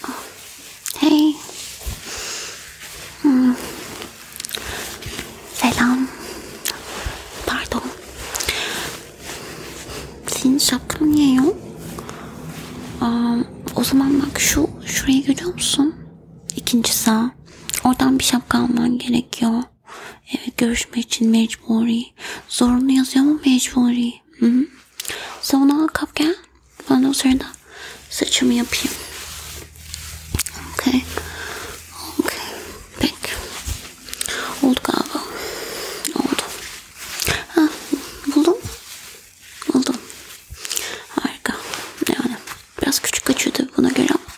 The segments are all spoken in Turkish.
Hey. Hmm. Selam. Pardon. Senin şapkan niye yok? Aa, o zaman bak şu şuraya görüyor musun? İkinci sağ. Oradan bir şapka alman gerekiyor. Evet görüşme için mecburi. Zorunlu yazıyor mu mecburi? Okey. Sonra kalk gel. Ben de o sırada saçımı yapayım. Okey. Okey. Peki. Oldu galiba. Oldu. Ha, buldum. Buldum. Harika. Yani biraz küçük kaçıyordu buna göre ama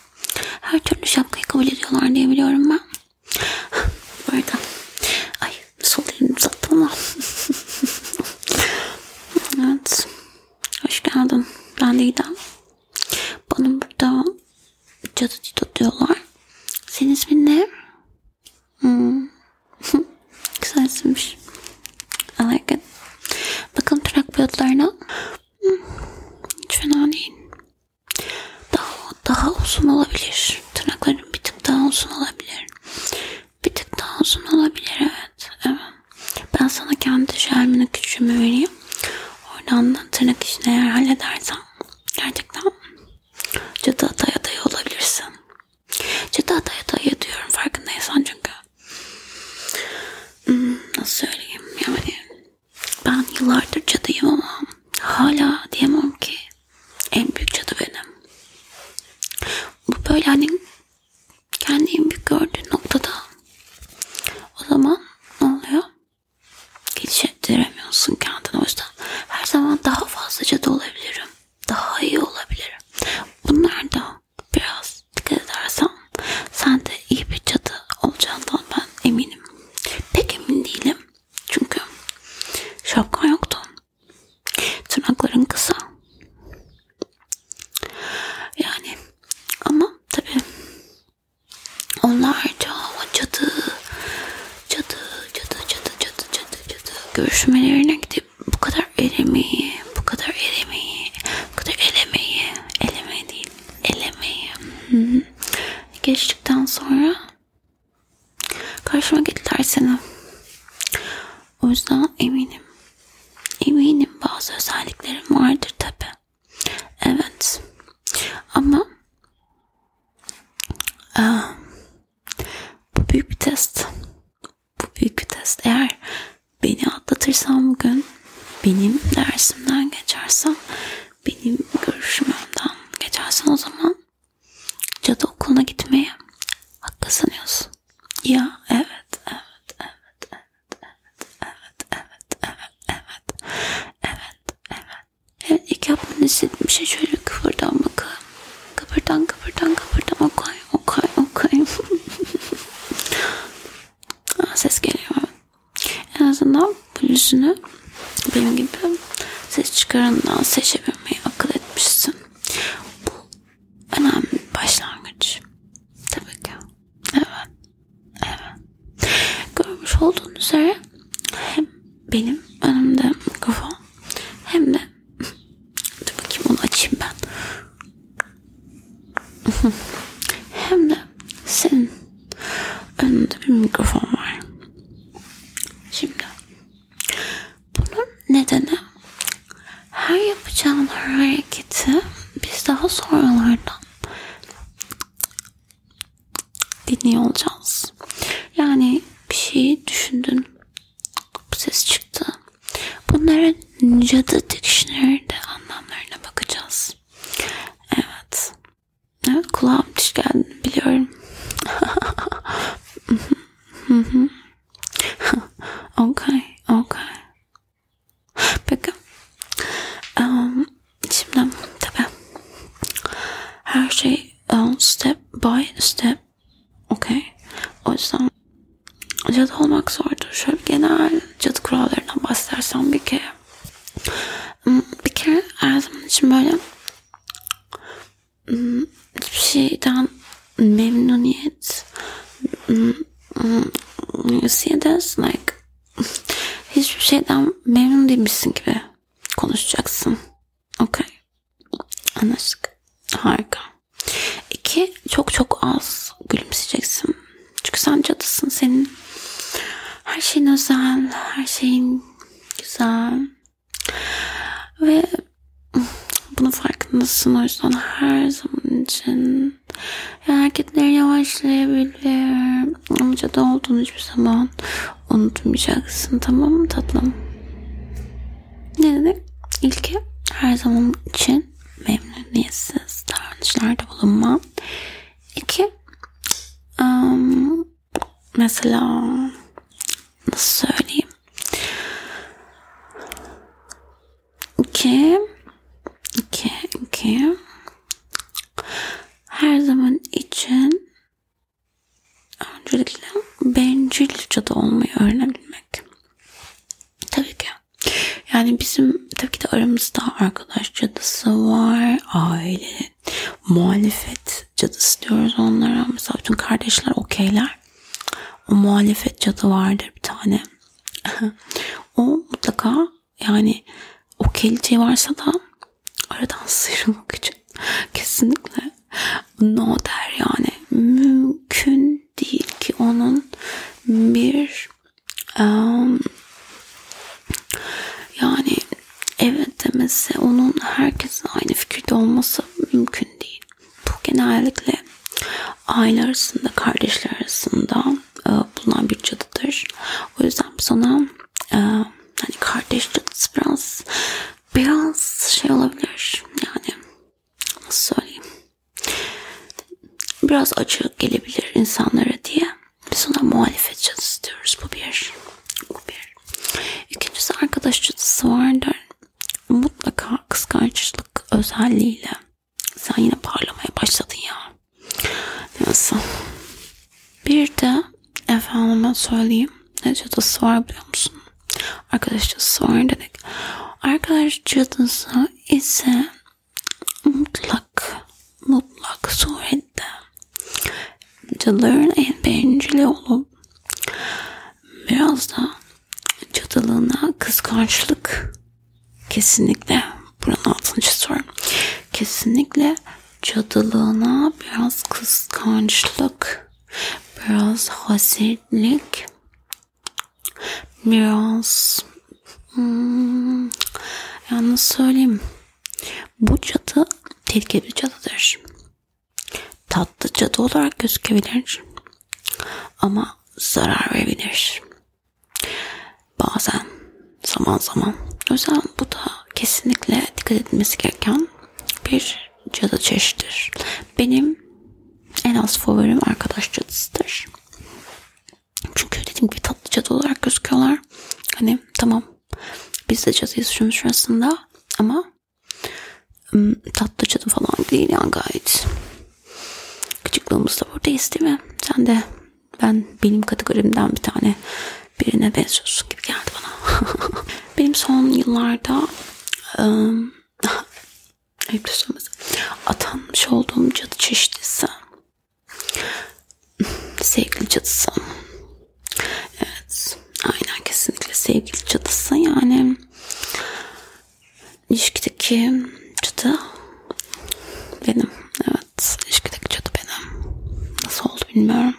her türlü şapkayı kabul ediyorlar diye biliyorum ben. Bu arada. Ay Sol elini uzat bana. evet. Hoş geldin. Ben Didem. Bana burada cadı Tito diyorlar. Senin ismin ne? Hmm. Güzel isimmiş. I like it. Bakalım trak pilotlarına. Hmm. Hiç fena değil. Daha, daha uzun olabilir. Tırnakların bir tık daha uzun olabilir. Bir tık daha uzun olabilir evet. evet. Ben sana kendi şermini küçüğümü vereyim. Oradan da tırnak işini eğer halledersen gerçekten cadı ataya dayı olabilirsin. Cadı ataya dayı diyorum farkındaysan çünkü. Hmm, nasıl söyleyeyim yani ben yıllardır cadıyım ama hala diyemem ki en büyük cadı benim. Bu böyle hani kendi en büyük gördüğü noktada o zaman ne oluyor? Geliştiremiyorsun kendini. O yüzden her zaman daha fazla cadı olabilirim. Daha iyi olabilirim. Bunlar da biraz dikkat edersen sen de iyi bir cadı olacağından ben eminim. Pek emin değilim. Çünkü şapkan yoktu. Tırnakların kısa. Yani ama tabi onlarca cadı, cadı, cadı, cadı, cadı, cadı, cadı görüşmelerine gidip bu kadar eremeyi, bu kadar eremeyi, bu kadar elemeyi, elemeyi değil, elemeyi. Hı -hı. Geçtikten sonra Karşıma getirdiler seni. O yüzden eminim. Eminim bazı özelliklerim vardır tabi. Evet. Ama aa, e, bu büyük bir test. Bu büyük bir test. Eğer beni atlatırsam bugün benim dersimden geçersen benim görüşümden geçersen o zaman Cadı okuluna gitmeye haklı sanıyorsun. Ya evet, evet, evet, evet, evet, evet, evet, evet, evet, evet. Evet, ilk yapmanı istediğim şey şöyle kıpırdan bakın. Kıpırdan, kıpırdan, kıpırdan. Okay, okay, okay. Aa, ses geliyor. En azından bu yüzünü benim gibi ses çıkarandan seçebilirim dönmeyi akıl etmişsin. Bu önemli başlangıç. Tabii ki. Evet. Evet. Görmüş olduğunuz üzere hem benim önümde mikrofon hem de dur bakayım onu açayım ben. hem de senin önünde bir mikrofon var. Şimdi bunun nedeni her yapacağın hareketi biz daha sonralardan dinliyor olacağız. Yani bir şeyi düşündün. Bu ses çıktı. Bunların cadı dictionary'de anlamlarına bakacağız. Evet. Evet kulağım diş geldi biliyorum. Mm -hmm. okay, okay. Peki. Um, şimdi tabi her şey um, step by step. Okay. O yüzden cadı olmak zordur. Şöyle genel cadı kurallarından bahsedersen bir kere. Hmm, bir kere her zaman için böyle hiçbir şeyden memnuniyet you see this like hiçbir şeyden memnun değilmişsin gibi konuşacaksın. Okay. Anlaştık. Harika. İki, çok çok az gülümseyeceksin. Çünkü sen cadısın. Senin her şeyin özel, her şeyin güzel, ve bunu farkındasın o yüzden her zaman için ya hareketleri yavaşlayabilir. Ama cadı olduğunu hiçbir zaman unutmayacaksın tamam mı tatlım? Ne dedik? İlki her zaman için memnuniyetsiz davranışlarda bulunma. İki, um, mesela nasıl söyleyeyim ki ki ki her zaman için öncelikle bencilce de olmayı öğrenebilmek. Tabii ki. Yani bizim tabii ki de aramızda arkadaş cadısı var, aile muhalefet cadısı diyoruz onlara. Mesela bütün kardeşler okeyler. O muhalefet cadı vardır bir tane. o mutlaka yani okeyliği varsa da aradan sıyrılmak için kesinlikle no der yani mümkün değil ki onun bir um, yani evet demesi onun herkesin aynı fikirde olması mümkün değil. Bu genellikle aile arasında, kardeşler arasında e, bulunan bir cadıdır. O yüzden sana e, hani kardeş cadısı biraz biraz şey olabilir. Yani nasıl söyleyeyim? Biraz açık gelebilir insanlara diye biz ona muhalefet çatısı diyoruz. Bu bir. Bu bir. İkincisi arkadaş çatısı vardır. Mutlaka kıskançlık özelliğiyle sen yine parlamaya başladın ya. Nasıl? Bir de efendime söyleyeyim. Ne çatısı var biliyor musun? Arkadaş çatısı var dedik. Arkadaş çatısı ise mutlak mutlak surette Çadırın en bencili olup biraz da çadılığına kıskançlık kesinlikle buranın altını çiziyorum. Kesinlikle cadılığına biraz kıskançlık, biraz hasetlik, biraz hmm, yalnız söyleyeyim bu çatı tehlikeli bir çatıdır. Tatlı çatı olarak gözükebilir ama zarar verebilir. Bazen, zaman zaman. O yüzden bu da kesinlikle dikkat edilmesi gereken bir cadı çeşidir. Benim en az favorim arkadaş cadısıdır. Çünkü dediğim gibi tatlı cadı olarak gözüküyorlar. Hani tamam biz de çatıya sıçramış aslında ama tatlı çatı falan değil yani gayet. Küçüklüğümüz da buradayız değil mi? Sen de ben benim kategorimden bir tane birine benziyorsun gibi geldi bana. benim son yıllarda ıı, ayıp söylemesi atanmış olduğum cadı çeşitlisi Sevgili çatısı. Evet. Aynen kesinlikle sevgili çatısı. Yani ilişkideki çatı benim. Evet. ilişkideki çatı benim. Nasıl oldu bilmiyorum.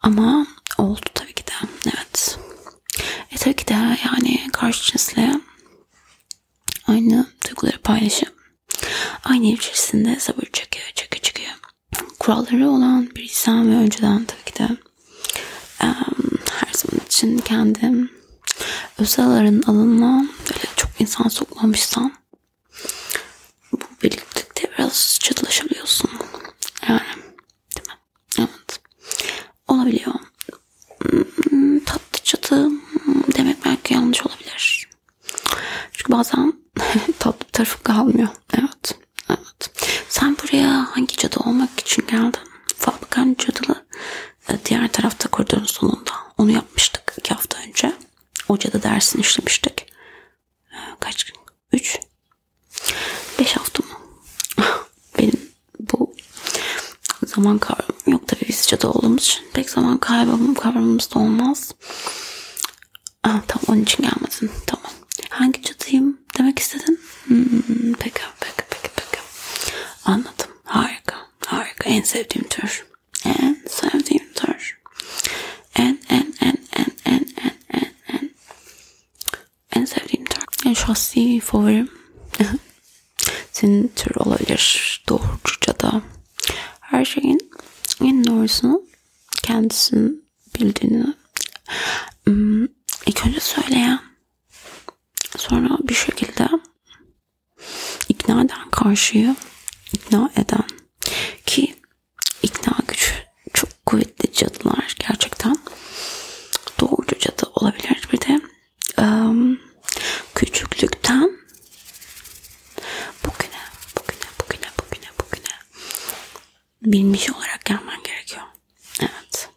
Ama oldu tabii ki de. Evet. E tabii ki de yani karşı cinsle aynı duyguları paylaşıp Aynı ev içerisinde sabır çöküyor, çöküyor, çöküyor. Kuralları olan bir insan ve önceden tabii ki de um, her zaman için kendim özel aranın alanına böyle çok insan sokmamışsam bu birlikte biraz çatılaşabiliyorsun. Yani değil mi? Evet. Olabiliyor. Hmm, tatlı çatı demek belki yanlış olabilir olabilir. Çünkü bazen tatlı tarafı kalmıyor. Evet. Evet. Sen buraya hangi cadı olmak için geldin? Fabrikan cadılı e, diğer tarafta koridorun sonunda. Onu yapmıştık iki hafta önce. O cadı dersini işlemiştik. E, kaç gün? Üç. Beş hafta mı? Benim bu zaman kavramım yok tabii biz cadı olduğumuz için pek zaman kavramım, kavramımız da olmaz. Aa, tam onun için gelmedin. Tamam. Hangi cadıyım demek istedin? Hmm, peki, peki, peki, peki. Anladım. Harika, harika. En sevdiğim tür. En sevdiğim tür. En, en, en, en, en, en, en, en. En sevdiğim tür. En şahsi favorim. Senin tür olabilir. Doğrucu cadı. Her şeyin en doğrusunu kendisinin bildiğini hmm, ilk önce söyleyen sonra bir şekilde ikna eden karşıyı ikna eden ki ikna gücü çok kuvvetli cadılar gerçekten doğrucu cadı olabilir bir de um, küçüklükten Bugüne, bugüne, bugüne, bugüne, bugüne bilmiş olarak gelmen gerekiyor. Evet.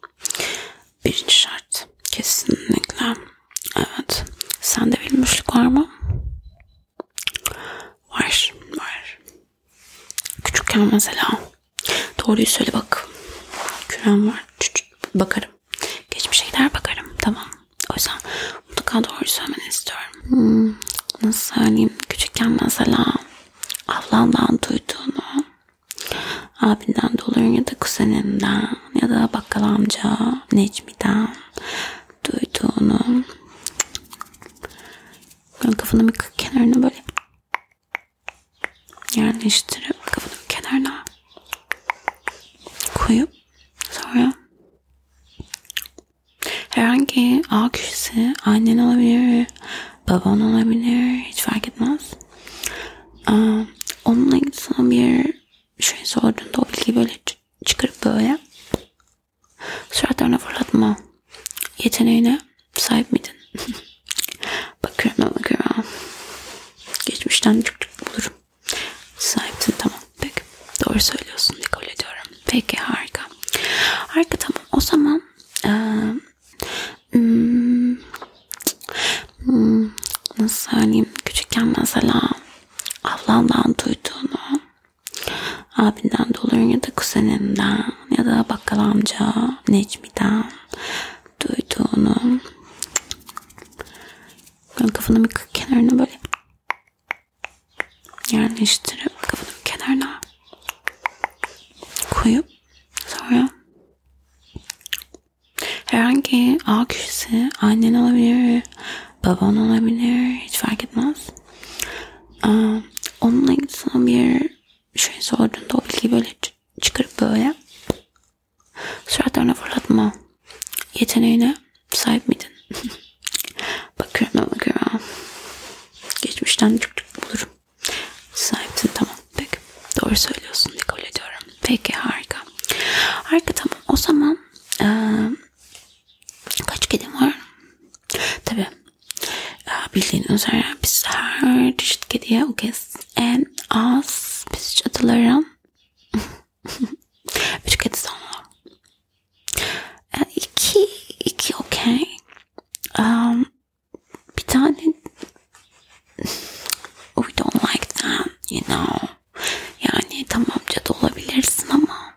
Birinci şart. Kesinlikle. Evet. Sende bilmişlik var mı? Var. Var. Küçükken mesela. Doğruyu söyle bak. Kürem var. Bakarım. Geçmişe gider bakarım. Tamam. O yüzden mutlaka doğru söylemeni istiyorum. Hmm, nasıl söyleyeyim? Küçükken mesela ablandan duyduğunu abinden doların ya da kuzeninden ya da bakkal amca Necmi'den duyduğunu böyle kafanı bir kenarına böyle yerleştirip kafanı bir kenarına koyup sonra Herhangi A kişisi annen olabilir, baban olabilir, hiç fark etmez. Aa, ee, onunla ilgili sana bir şey sorduğunda o bilgiyi böyle çıkarıp böyle suratlarına fırlatma yeteneğine sahip miydin? bakıyorum bakıyorum. Geçmişten çok çok bulurum. Sahipsin tamam. Peki. Doğru söylüyorsun. Kabul ediyorum. Peki harika. Harika tamam. O zaman e, hmm, hmm, nasıl söyleyeyim? Küçükken mesela ablamdan duyduğunu abinden doların ya da kuzenimden ya da bakkal amca Necmi'den duyduğunu böyle kafanın bir kenarına böyle yerleştirip kafanın kenarına koyup sonra herhangi A kişisi annen olabilir, baban olabilir hiç fark etmez. Um, onunla ilgili sana bir şey sorduğunda o bilgiyi böyle çıkarıp böyle Suratlarına fırlatma yeteneğine sahip miydin? bakıyorum bakıyorum. Geçmişten çok çok bulurum. Sahipsin tamam. Peki. Doğru söylüyorsun. Kabul ediyorum. Peki harika. Harika tamam. O zaman ee, kaç kedim var? Tabi. Bildiğin üzere biz her çeşit kediye o kez en az biz çatılara Üç kedi sonra. Yani e, iki, iki okey. Um, bir tane we don't like that, you know. Yani tamam cadı olabilirsin ama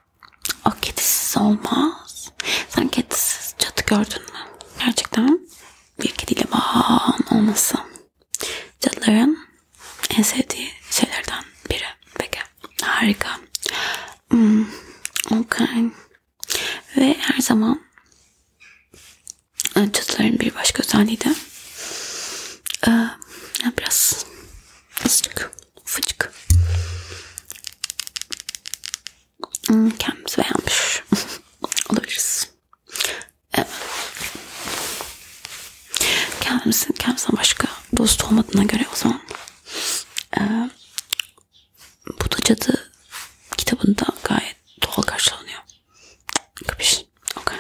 o kedisiz olmaz. Sen kedisiz cadı gördün mü? Gerçekten bir kediyle bağın olması. Cadıların en sevdiği şeylerden biri. Peki. Harika. Hmm, okay. Ve her zaman e, cadıların bir başka özelliği de e, biraz azıcık fıcık hmm, kendimizi beğenmiş olabiliriz. Evet. Kendimsin, kendimden başka dost olmadığına göre o zaman e, bu da cadı kitabında gayet doğal karşılanıyor. Kapış. Okay.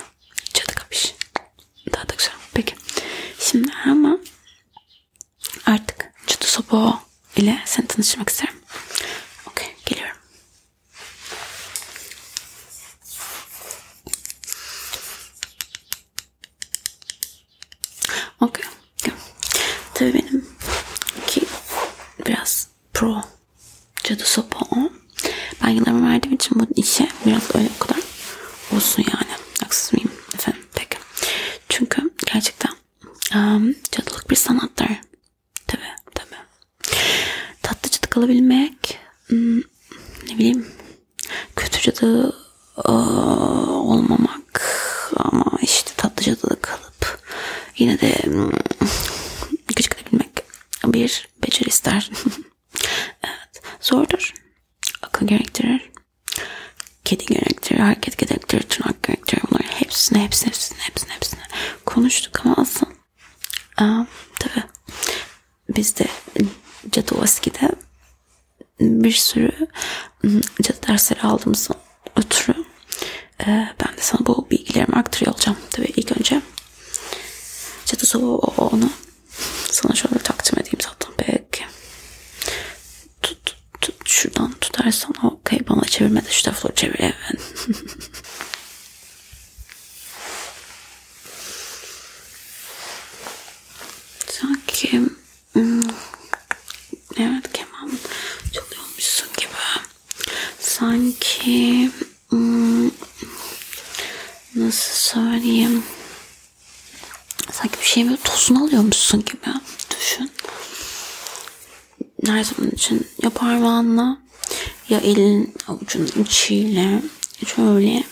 Cadı kapış. Daha da güzel. Peki. Şimdi ama artık cadı sobo ile seni tanıştırmak isterim. Okay. Geliyorum. Okey. Tabii benim ki biraz pro cadı sopa o. Ben yıllarımı verdiğim için bu işe biraz öyle o kadar olsun yani. Haksız mıyım efendim? Peki. Çünkü gerçekten um, cadılık bir sanattır. Tabii tabii. Tatlı cadı kalabilmek hmm, ne bileyim kötü cadı olmamak ama işte tatlı cadıda kalıp yine de gıcıklayabilmek hmm, bir beceri ister. evet, zordur. Akıl gerektirir. Kedi gerektirir, hareket gerektirir, tırnak gerektirir. Bunların hepsini, hepsini, hepsini, hepsini, hepsini konuştuk ama aslında Aa, tabii bizde Cadovski'de bir sürü ıı, cadı dersleri aldığımızdan ötürü e, ben de sana bu bilgilerimi aktarıyor olacağım. Tabii ilk önce cadı salonu sana şöyle takdim edeyim zaten belki. Tut, tut, şuradan tutarsan okey bana çevirme de şu tarafları çevir. Evet. Sanki hmm, evet keman çalıyormuşsun gibi. Sanki hmm, nasıl söyleyeyim? Sanki bir şeyin tozunu alıyormuşsun gibi. Düşün. Her zaman için ya parmağınla ya elin avucunun içiyle şöyle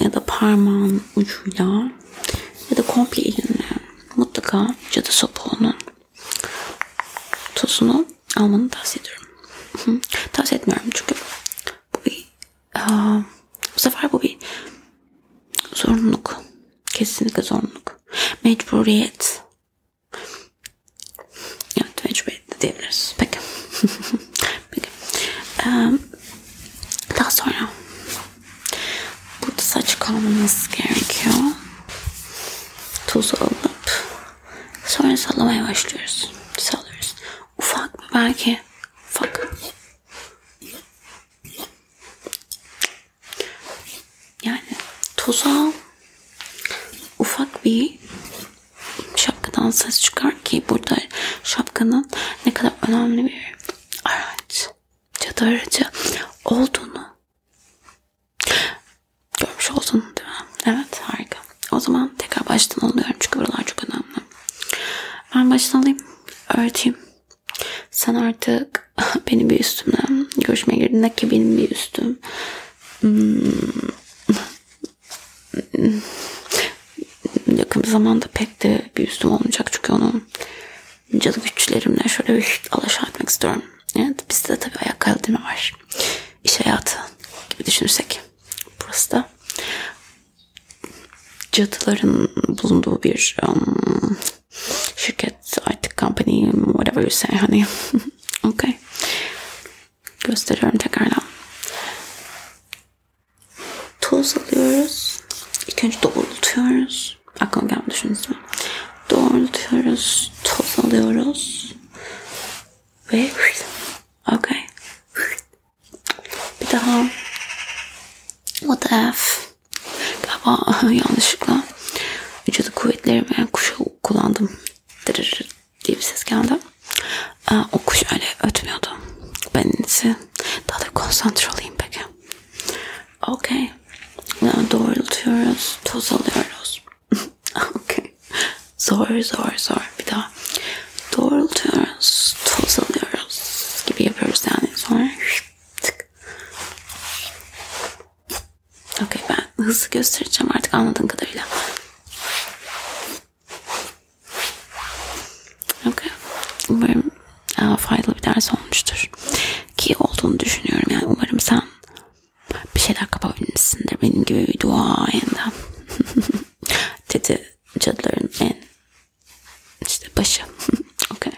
ya da parmağın ucuyla ya da komple elinle mutlaka cadı sopuğunun tozunu almanı tavsiye ediyorum. Hı, tavsiye etmiyorum çünkü bu bir aa, bu sefer bu bir zorunluluk. Kesinlikle zorunluluk. Mecburiyet. Evet tecrübe etti diyebiliriz. Peki. Peki. Ee, daha sonra burada saç kalmamız gerekiyor. Tuzu alıp sonra sallamaya başlıyoruz. Sallıyoruz. Ufak mı? Belki ufak. Yani tuzu al. Ufak bir şapkadan ses çıkar ki burada şapkanın ne kadar önemli bir araç, cadı aracı olduğunu görmüş oldun değil mi? Evet harika. O zaman tekrar baştan alıyorum çünkü buralar çok önemli. Ben baştan alayım, öğreteyim. Sen artık benim bir üstümden görüşmeye girdin ki benim bir üstüm. Hmm. yakın bir zamanda pek de bir üstüm olmayacak çünkü onun cadı güçlerimle şöyle bir alaşağı etmek istiyorum. Evet, bizde de tabii ayak kaldırma var. İş hayatı gibi düşünürsek. Burası da cadıların bulunduğu bir um, şirket artık company whatever you say hani Okay. Gösteriyorum tekrardan. Toz alıyoruz. İlk önce doğrultuyoruz. Aklıma gelmedi şunu ismi. Doğrultuyoruz. Toz alıyoruz. Ve okay. Bir daha what the F galiba yanlışlıkla vücudu kuvvetlerimi kuşu kullandım dırır diye bir ses geldi. Ee, o kuş öyle ötmüyordu. Ben ise daha da konsantre olayım peki. Okey. Yani doğrultuyoruz. Toz alıyoruz. Okey. Zor zor zor. Bir daha. Doğrultuyoruz. Toz alıyoruz. Gibi yapıyoruz yani. Sonra tık. Okey ben hızlı göstereceğim artık anladığın kadarıyla. Okey. Umarım e, faydalı bir ders olmuştur. Ki olduğunu düşünüyorum yani umarım sen bir şeyler kapabilmişsindir benim gibi bir dua yanda. Dedi cadıların en işte başı. Okey.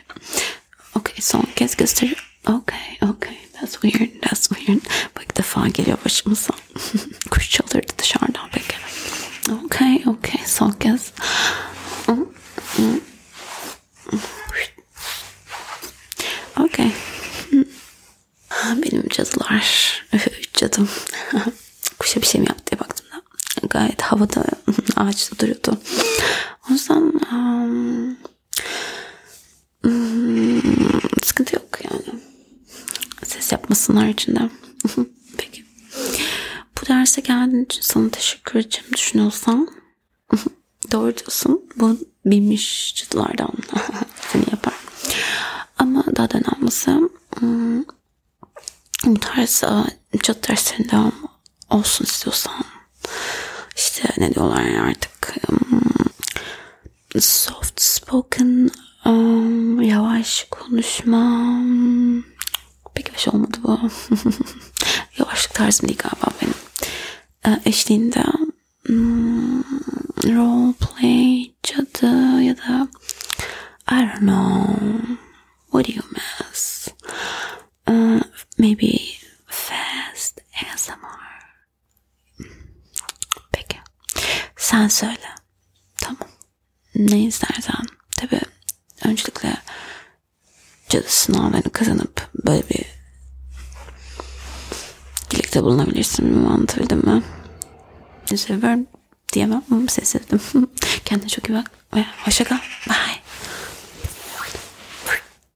Okey son kez gösteriyorum. Okay, okay. That's weird, that's weird. Bak ilk defa geliyor başımıza. Kuş çalırdı dışarıdan peki. Okay, okay. Son kez. Okay. Benim cadılar. Üç cadım. Kuşa bir şey mi yaptı diye baktım da. Gayet havada ağaçta duruyordu. O yüzden um, Hmm, sıkıntı yok yani. Ses yapmasın haricinde. Peki. Bu derse geldiğin için sana teşekkür edeceğim düşünüyorsan. Doğru diyorsun. Bu bilmiş çıtılardan seni yapar. Ama daha da önemlisi hmm, bu tarz çatı derslerinde olsun istiyorsan işte ne diyorlar artık um, soft spoken um, yavaş konuşma pek yavaş şey olmadı bu yavaşlık tarzım değil galiba benim e, eşliğinde um, hmm, role play cadı ya da I don't know what do you miss uh, maybe fast ASMR Peki. Sen söyle. Tamam. Ne istersen. Tabi öncelikle cadı sınavlarını kazanıp böyle bir dilekte bulunabilirsin. mi Anlatabildim mi? Seviyorum diyemem ama ses ettim. Kendine çok iyi bak. Hoşça kal. Bye.